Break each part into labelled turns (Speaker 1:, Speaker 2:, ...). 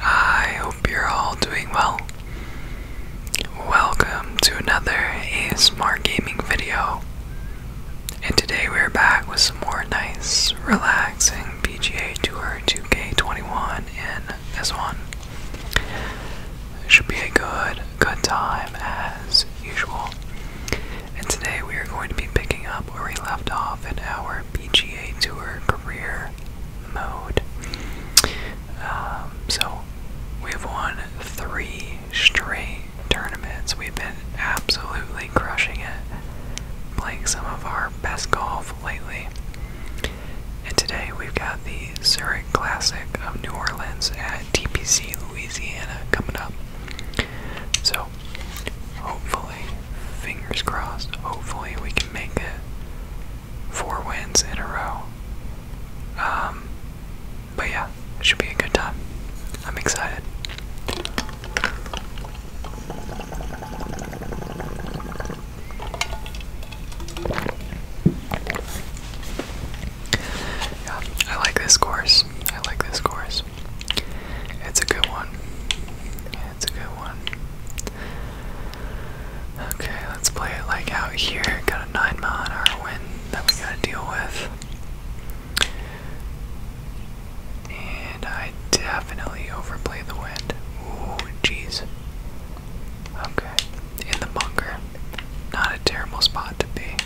Speaker 1: I hope you're all doing well. Welcome to another A Smart gaming video. And today we're back with some more nice, relaxing PGA Tour 2K21 in s one. It should be a good, good time as usual. And today we are going to be picking up where we left off in our PGA Tour career mode. Um, so we've won three straight tournaments. We've been absolutely crushing it, playing some of our best golf lately. And today we've got the Zurich Classic of New Orleans at TPC Louisiana coming up. So hopefully, fingers crossed, hopefully we can make it four wins in a row. Um, but yeah, should be a good time. I'm excited. Yeah, I like this course. I like this course. It's a good one. It's a good one. Okay, let's play it like out here. Got a 9 mile an hour wind that we gotta deal with. And I definitely overplay the wind. Ooh, jeez. Okay, in the bunker. Not a terrible spot to be.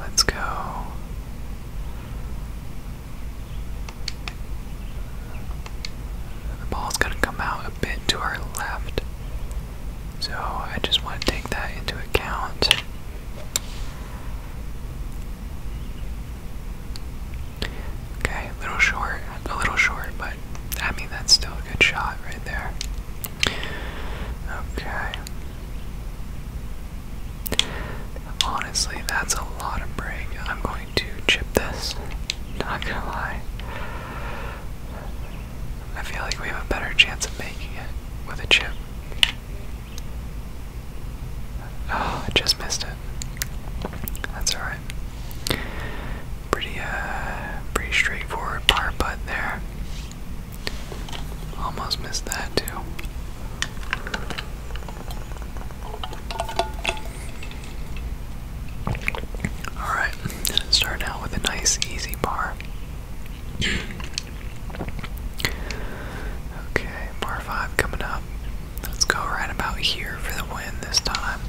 Speaker 1: Let's go. The ball's going to come out a bit to our left. So I just want to take that into account. Okay, a little short, a little short, but I mean, that's still a good shot right there. Okay. Honestly, that's a lot of break. I'm going to chip this. Not gonna lie. I feel like we have a better chance of making it with a chip. Oh, I just missed it. That's alright. Pretty uh pretty straightforward power putt there. Almost missed that too. Alright, start out with a nice easy bar. okay, bar 5 coming up. Let's go right about here for the win this time.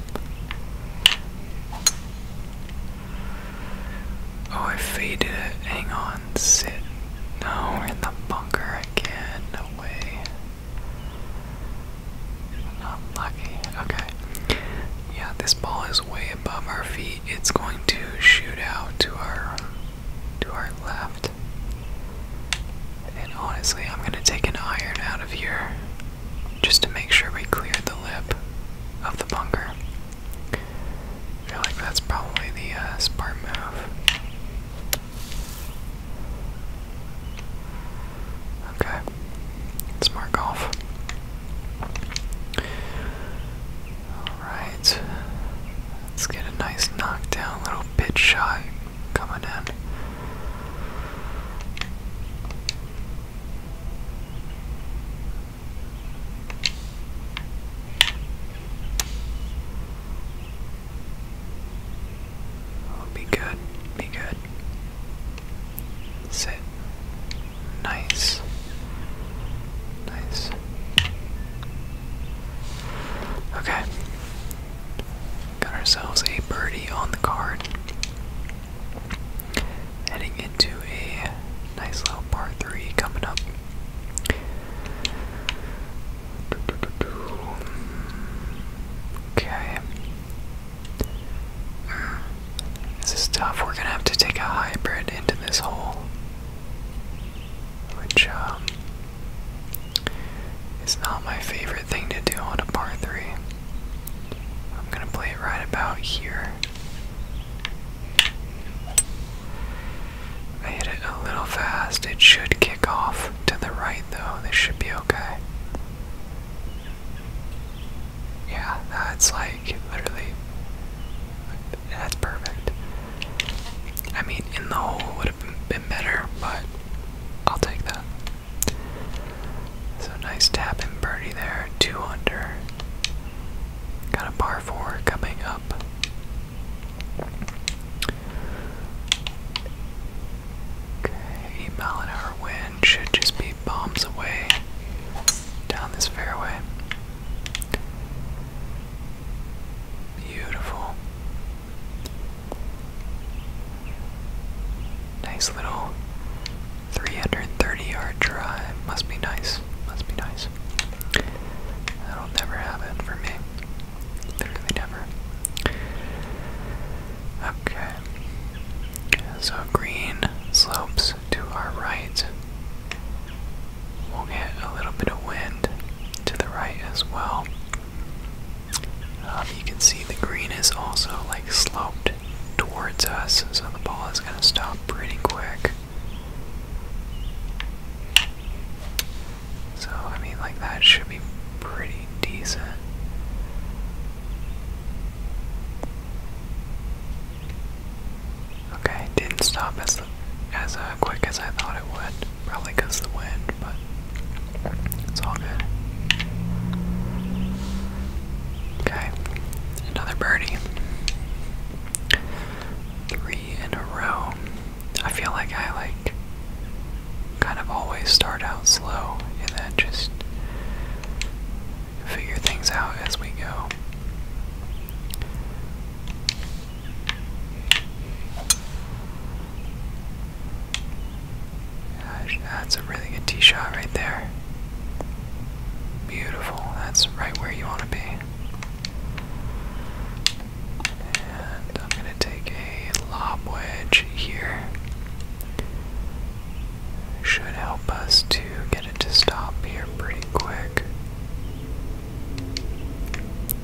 Speaker 1: Oh, I faded it. Hang on, sit. No, in the bunker again. No way. Not lucky. Okay. Yeah, this ball is way above our feet. It's going to shoot out to our to our left. And honestly, I'm gonna take an iron out of here just to make sure we clear the lip of the bunker. feel like that's probably the uh, smart move. Okay, let's mark off. Alright, let's get a nice knockdown little pitch shot coming in. Oh, be good, be good. Sit. Nice. Nice. Okay. Got ourselves a birdie on the card. Heading into a nice little par three coming up. Okay. This is tough. We're gonna have to take a hybrid into this hole. Which, um, is not my favorite thing to do on a par 3. I'm gonna play it right about here. I hit it a little fast. It should kick off to the right, though. This should be okay. Yeah, that's like literally. That's perfect. I mean, in the hole would have been better, but I'll take that. So nice tap and birdie there, two under. Got a par four coming up. Okay, eight mile should just be bombs away down this fairway. Beautiful. Nice little 330 yard drive. Must be nice. Must be nice. That'll never happen for me. Literally never. Okay. So green slopes to our right. We'll get a little bit of wind to the right as well. Um, you can see the green is also like sloped towards us, so the ball is going to stop pretty quick. So, I mean, like that should be pretty decent. Okay, didn't stop as as uh, quick as I thought it would. Probably because the wind, but it's all good. Okay, another birdie. Three in a row. I feel like I like kind of always start out slow and then just figure things out as we go. that's a really good tee shot right there. Beautiful. That's right where you want to be. And I'm going to take a lob wedge here should help us to get it to stop here pretty quick.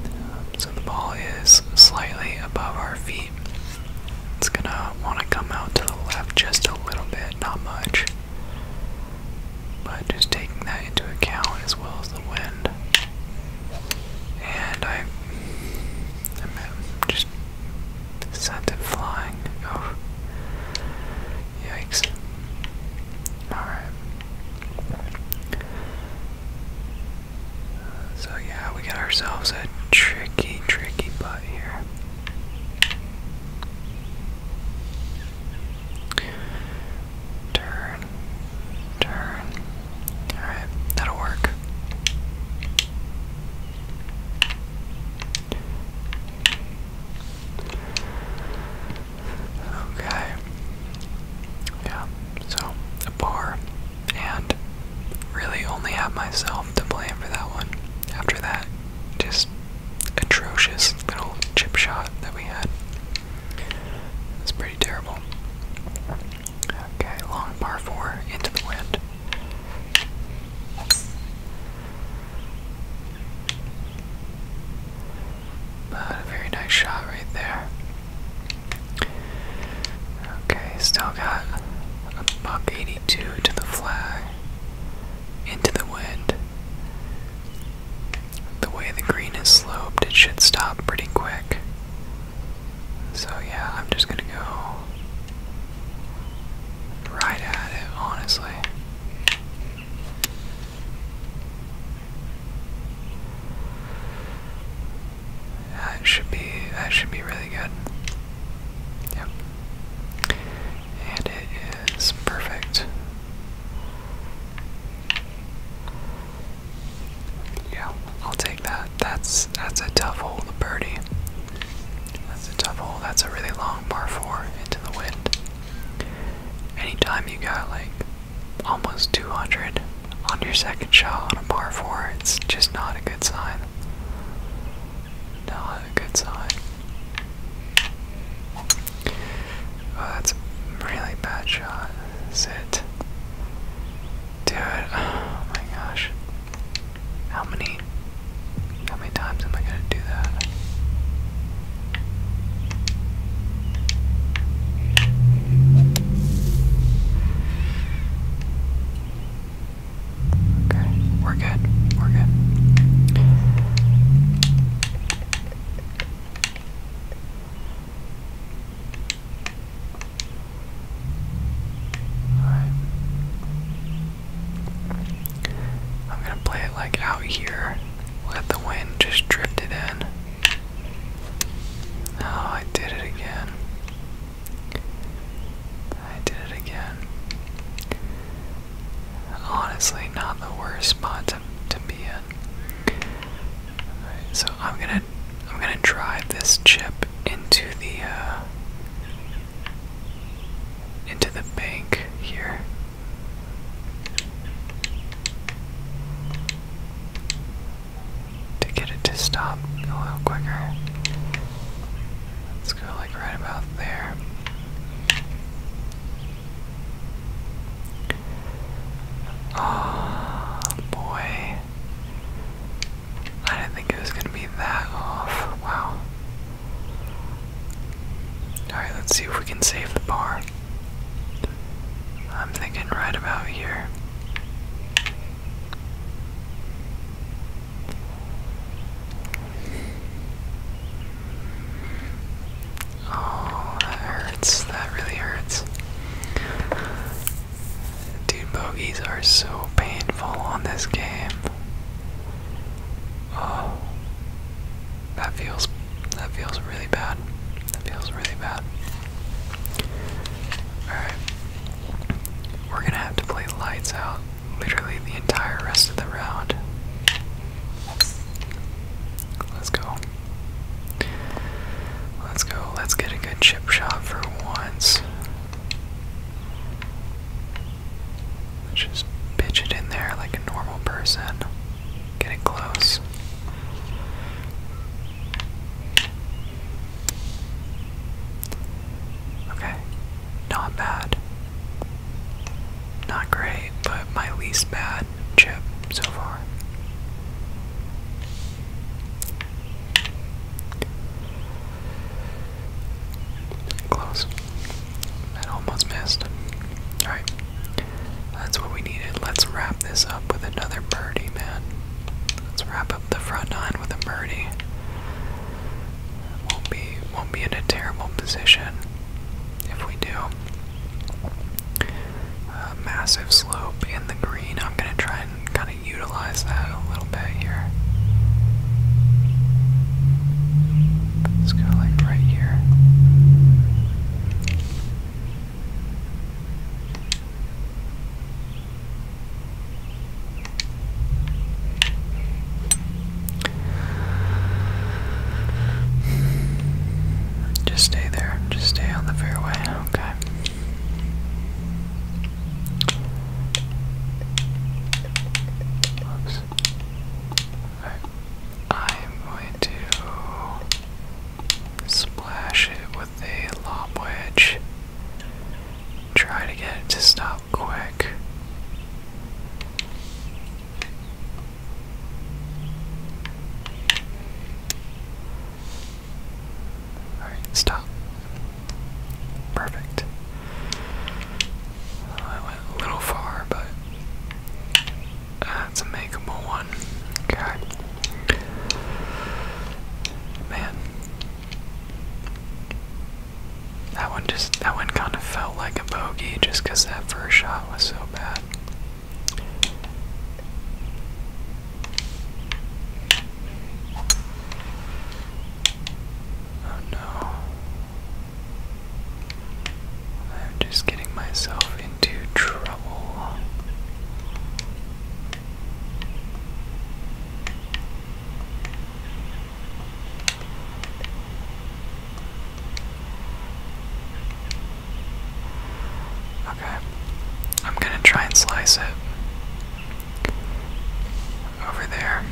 Speaker 1: Um, so the ball is slightly above our feet. It's gonna want to come out to the left just a little bit, not much. But just taking that into account as well as the wind. And I'm just sent it flying. Oh, yikes! All right. So yeah, we got ourselves a tricky, tricky butt here. Turn, turn. All right, that'll work. Okay. Yeah, so a bar. And really only have myself to blame for that one. After that, just atrocious little chip shot that we had. It was pretty terrible. Okay, long par four into the wind a very nice shot right there. Okay, still got a buck 82 to the flag, into the wind. The way the green is sloped, it should stop pretty quick. So, yeah, I'm just gonna go right at it, honestly. That should be that should be really good. Yep. And it is perfect. Yeah, I'll take that. That's that's a tough hole to birdie. That's a tough hole. That's a really long par four into the wind. Any time you got like almost 200 on your second shot on a par four, it's just not a good sign. Not a good sign. Oh, that's a really bad shot. Sit. Dude, oh my gosh. How many how many times am I gonna do that? Okay, we're good. We're good. All right. I'm gonna play it like out here. Let the wind just drift it in. Oh, I did it again. I did it again. Honestly, not the worst spot to, to be in. so I'm gonna I'm gonna drive this chip into the uh, into the bank here. To get it to stop a little quicker. Let's go like right about there. Oh boy. I didn't think it was gonna be that off. Wow. Alright, let's see if we can save the bar. I'm thinking right about here. Oh, that hurts. That really hurts. Dude, Bogies are so painful on this game. Oh, that feels that feels really bad. That feels really bad. Alright. We're gonna have to play lights out literally the entire rest of the round. Let's go. Let's go. Let's get a good chip shot for once just pitch it in there like a normal person. Get it close. Okay, not bad. Not great, but my least bad chip so far. Close. That almost missed. Alright. That's what we needed. Let's wrap this up with another birdie, man. Let's wrap up the front nine with a birdie. Won't be won't be in a terrible position if we do. massive slope in the green. I'm gonna try and kinda utilize that a little bit here. Let's go like right here. Just stay there. Just stay on the fairway. Okay. Oops. I'm going to splash it with a lob wedge. Try to get it to stop quick. Alright, stop. Perfect. Oh, I went a little far, but that's a makeable one. Okay. Man. That one just, that one kind of felt like a bogey just that first shot was so bad. Oh no. I'm just getting myself into trouble. Okay, I'm gonna try and slice it over there.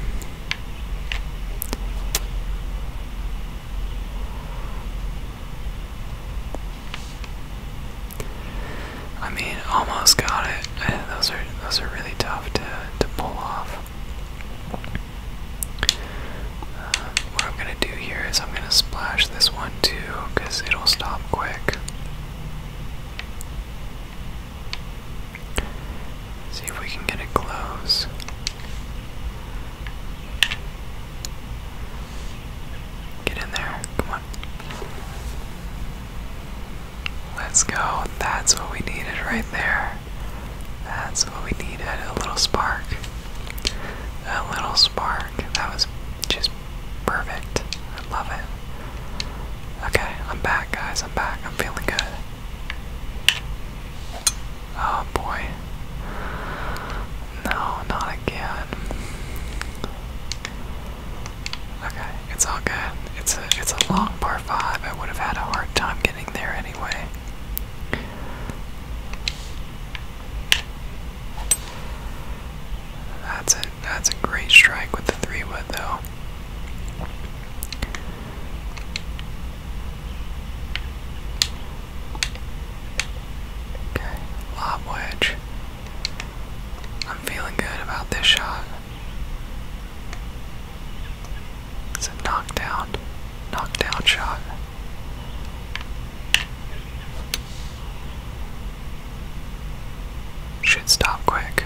Speaker 1: I mean, almost got it. Eh, those are those are really tough to to pull off. Uh, what I'm gonna do here is I'm gonna splash this one too, cause it'll stop quick. See if we can get it close. Get in there. Come on. Let's go. That's what we needed right there. That's what we needed. A little spark. A little spark. That was just perfect. I love it. Okay, I'm back, guys. I'm back. I'm feeling good. Oh boy. No, not again. Okay, it's all good. It's a it's a long par five. I would have had a hard time getting there anyway. That's a that's a great strike with the three wood though lob wedge. I'm feeling good about this shot. It's a knockdown, knockdown shot. Should stop quick.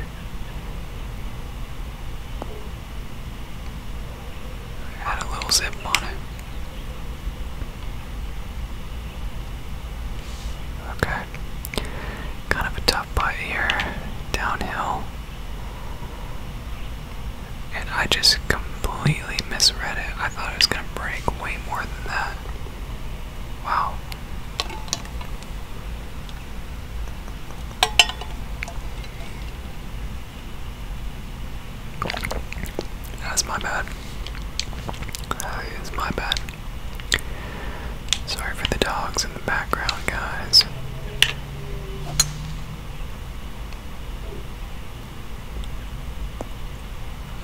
Speaker 1: Add a little zip on it. Okay. Kind of a tough putt here. Downhill. And I just completely misread it. I thought it was going to break way more than that. Wow. That's my bad. That is my bad. Sorry for the dogs in the background, guys.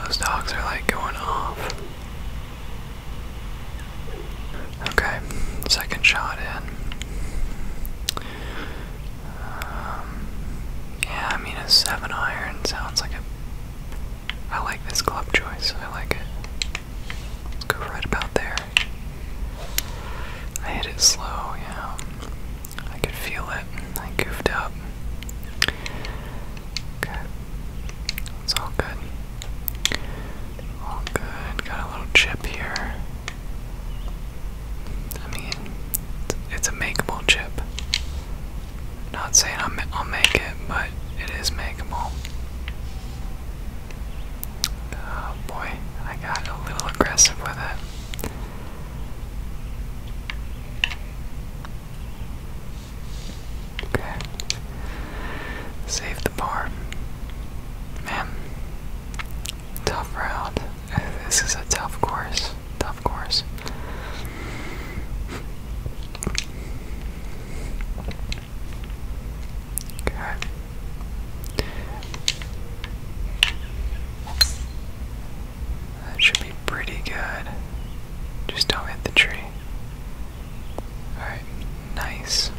Speaker 1: Those dogs are like going off. Okay, second shot in. Um, yeah, I mean, a 7 iron sounds like a. I like this club choice, I like it. Let's go right about there. I hit it slow, yeah. I could feel it. I goofed up. Okay. It's all good. All good. Got a little chip here. I mean, it's a makeable chip. Not saying i will make it, but it is makeable. Oh boy, I got a little aggressive with it. Okay. Save the bar. Man, Tough round. This is a tough course. Tough course. Okay. That should be pretty good. Just don't hit the tree. Alright, nice.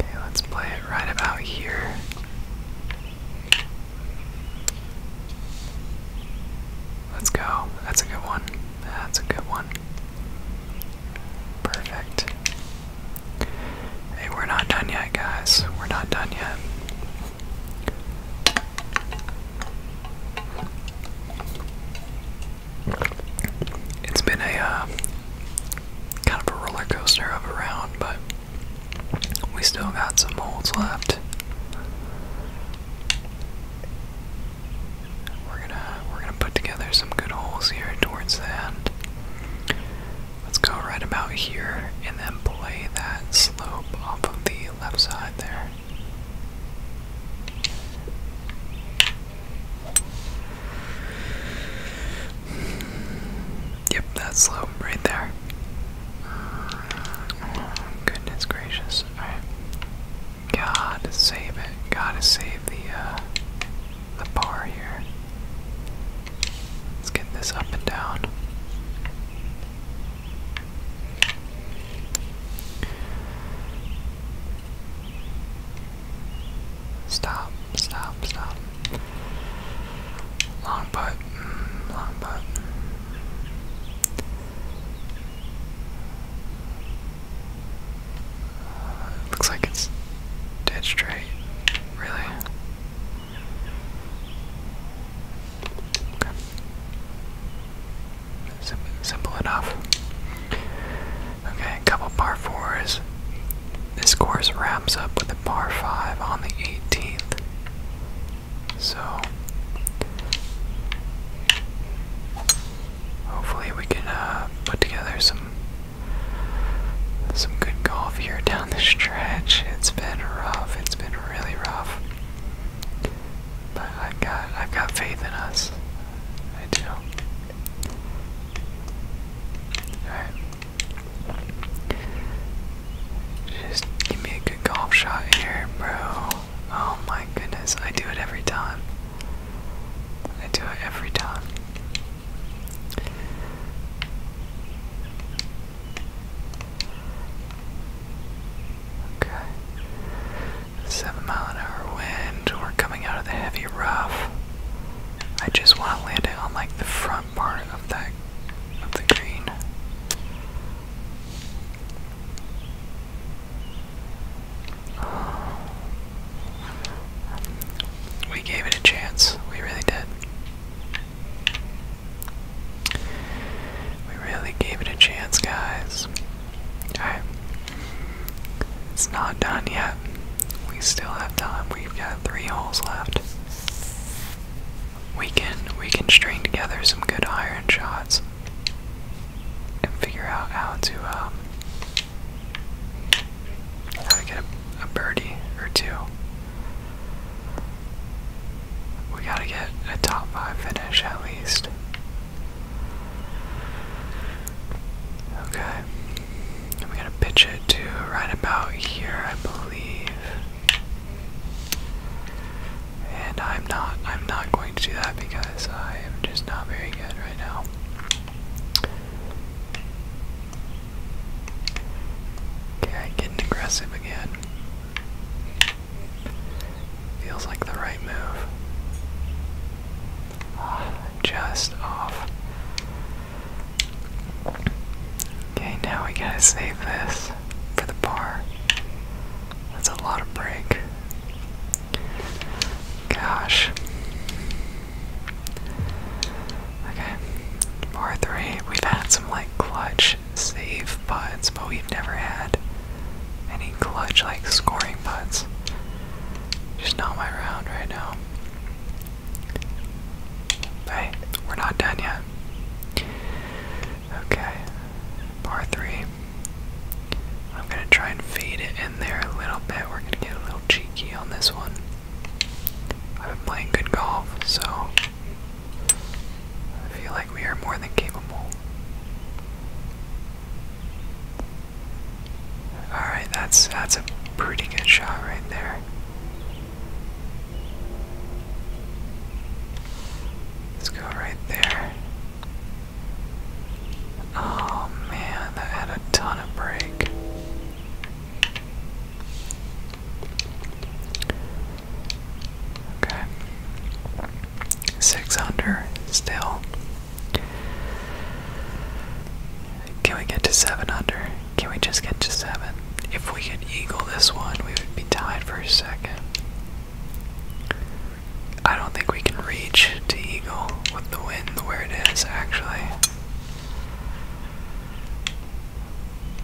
Speaker 1: Okay, let's play it right about here. Let's go. That's a good one. That's a good one. Perfect. Hey, we're not done yet, guys. We're not done yet. It's been a uh, kind of a roller coaster of a round, but we still got some holes left. We're gonna we're gonna put together some good holes here towards the end. Let's go right about here and then play that slope off of the left side there. Yep, that's slow right there. goodness gracious. Alright. got save it. got save the uh, the bar here. Let's get this up and down. Stop, stop, stop. Long putt, mm, long putt. Uh, looks like it's dead straight, really. Okay simple enough. Okay, couple par fours. This course wraps up with a par five on the 18th. So hopefully we can uh, put together some some good golf here down the stretch. It's been rough. It's been really rough. But I've got I've got faith in us. I do. Alright. Just give me a good golf shot here, bro. Oh my goodness, I do it every time. I do it every time. Okay. Seven mile an hour wind. We're coming out of the heavy rough. I just want to land it on like the front part of that of the green. We gave it a chance. We really did. We really gave it a chance, guys. Alright. It's not done yet. We still have time. We've got three holes left. We can we can string together some good iron shots and figure out how to um how to get a birdie or two. We gotta get a top five finish at least. Okay. I'm gonna pitch it to right about here, I believe. And I'm not I'm not going to do that because I am just not very good right now. Okay, getting aggressive again. Feels like the right move. just off. Okay, now we gotta save this for the bar. That's a lot of break. Gosh. Okay, bar three. We've had some like clutch save putts, but we've never had any clutch like scoring putts. Just not my round right now. Hey, we're not done yet. Okay, par three. I'm gonna try and feed it in there a little bit. We're gonna get a little cheeky on this one. I've been playing good golf, so I feel like we are more than capable. Alright, that's that's a pretty good shot right there. Let's go right there. Oh man, that had a ton of break. Okay. Six under still. Can we get to seven under? Can we just get to seven? If we could eagle this one, we would be tied for a second. I don't think we can reach to eagle with the wind where it is, actually.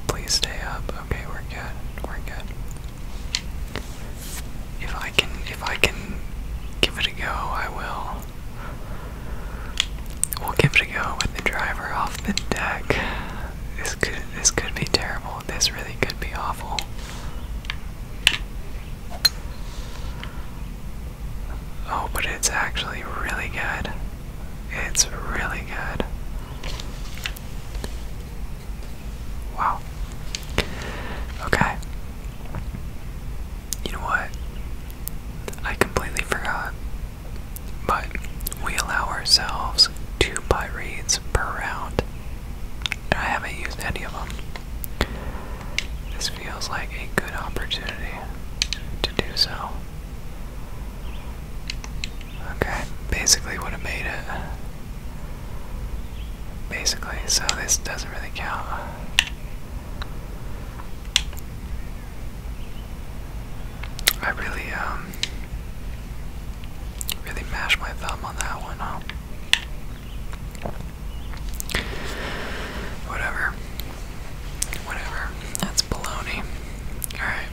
Speaker 1: Please stay up. Okay, we're good. We're good. If I can, if I can give it a go, I will. We'll give it a go with the driver off the deck. This could, this could be terrible. This really could be awful. Oh, but it's actually really good. It's really good. Wow. Okay. You know what? I completely forgot. But we allow ourselves two buy reads per round. I haven't used any of them. This feels like a good opportunity to do so. Okay, basically would have made it. Basically, so this doesn't really count. I really, um, really mashed my thumb on that one, huh? Whatever. Whatever. That's baloney. Alright.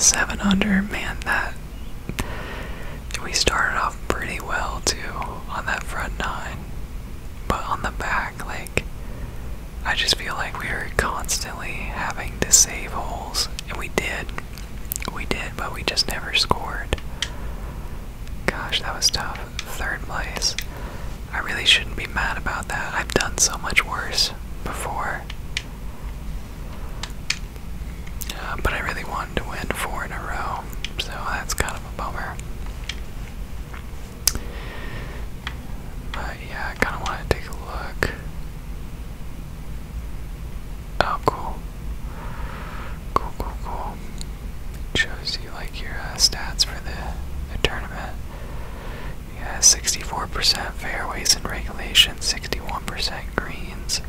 Speaker 1: Seven under, man, that we started off pretty well too on that front nine, but on the back, like, I just feel like we were constantly having to save holes, and we did. We did, but we just never scored. Gosh, that was tough. Third place. I really shouldn't be mad about that. I've done so much worse before. Uh, but I really wanted to win four in a row, so that's kind of a bummer. But yeah, I kind of want to take a look. Oh, cool. Cool, cool, cool. shows you like your uh, stats for the, the tournament. Yeah, 64% fairways in regulation, 61% greens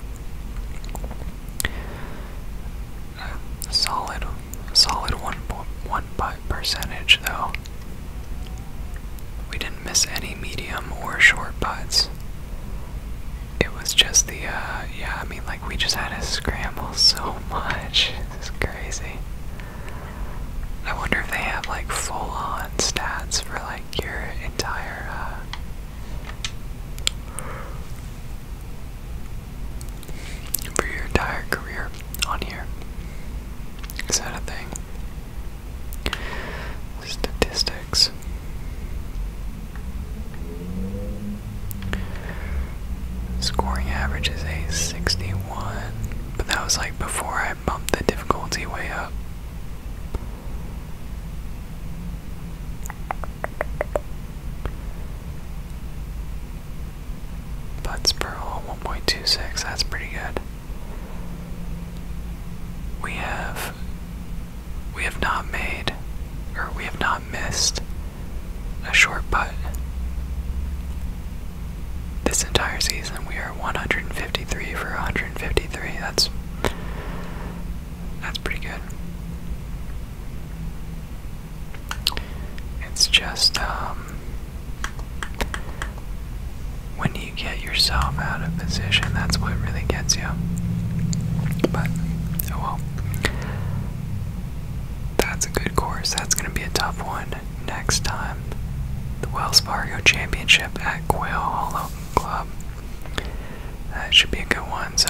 Speaker 1: solid, solid one one percentage though. We didn't miss any medium or short putts. It was just the uh, yeah. I mean, like we just had to scramble so much. It's crazy. I wonder if they have like full-on stats for like your entire uh, for your entire career on here. Is that a thing? Statistics. Scoring average is a 61, but that was like before I bumped the difficulty way up. Putts per hole, 1.26, that's pretty good. We have we have not made or we have not missed a short putt. This entire season we are 153 for 153. That's that's pretty good. It's just um, when you get yourself out of position, that's what really gets you. But oh well. That's a good course. That's going to be a tough one next time. The Wells Fargo Championship at Quail Hollow Club. That should be a good one. So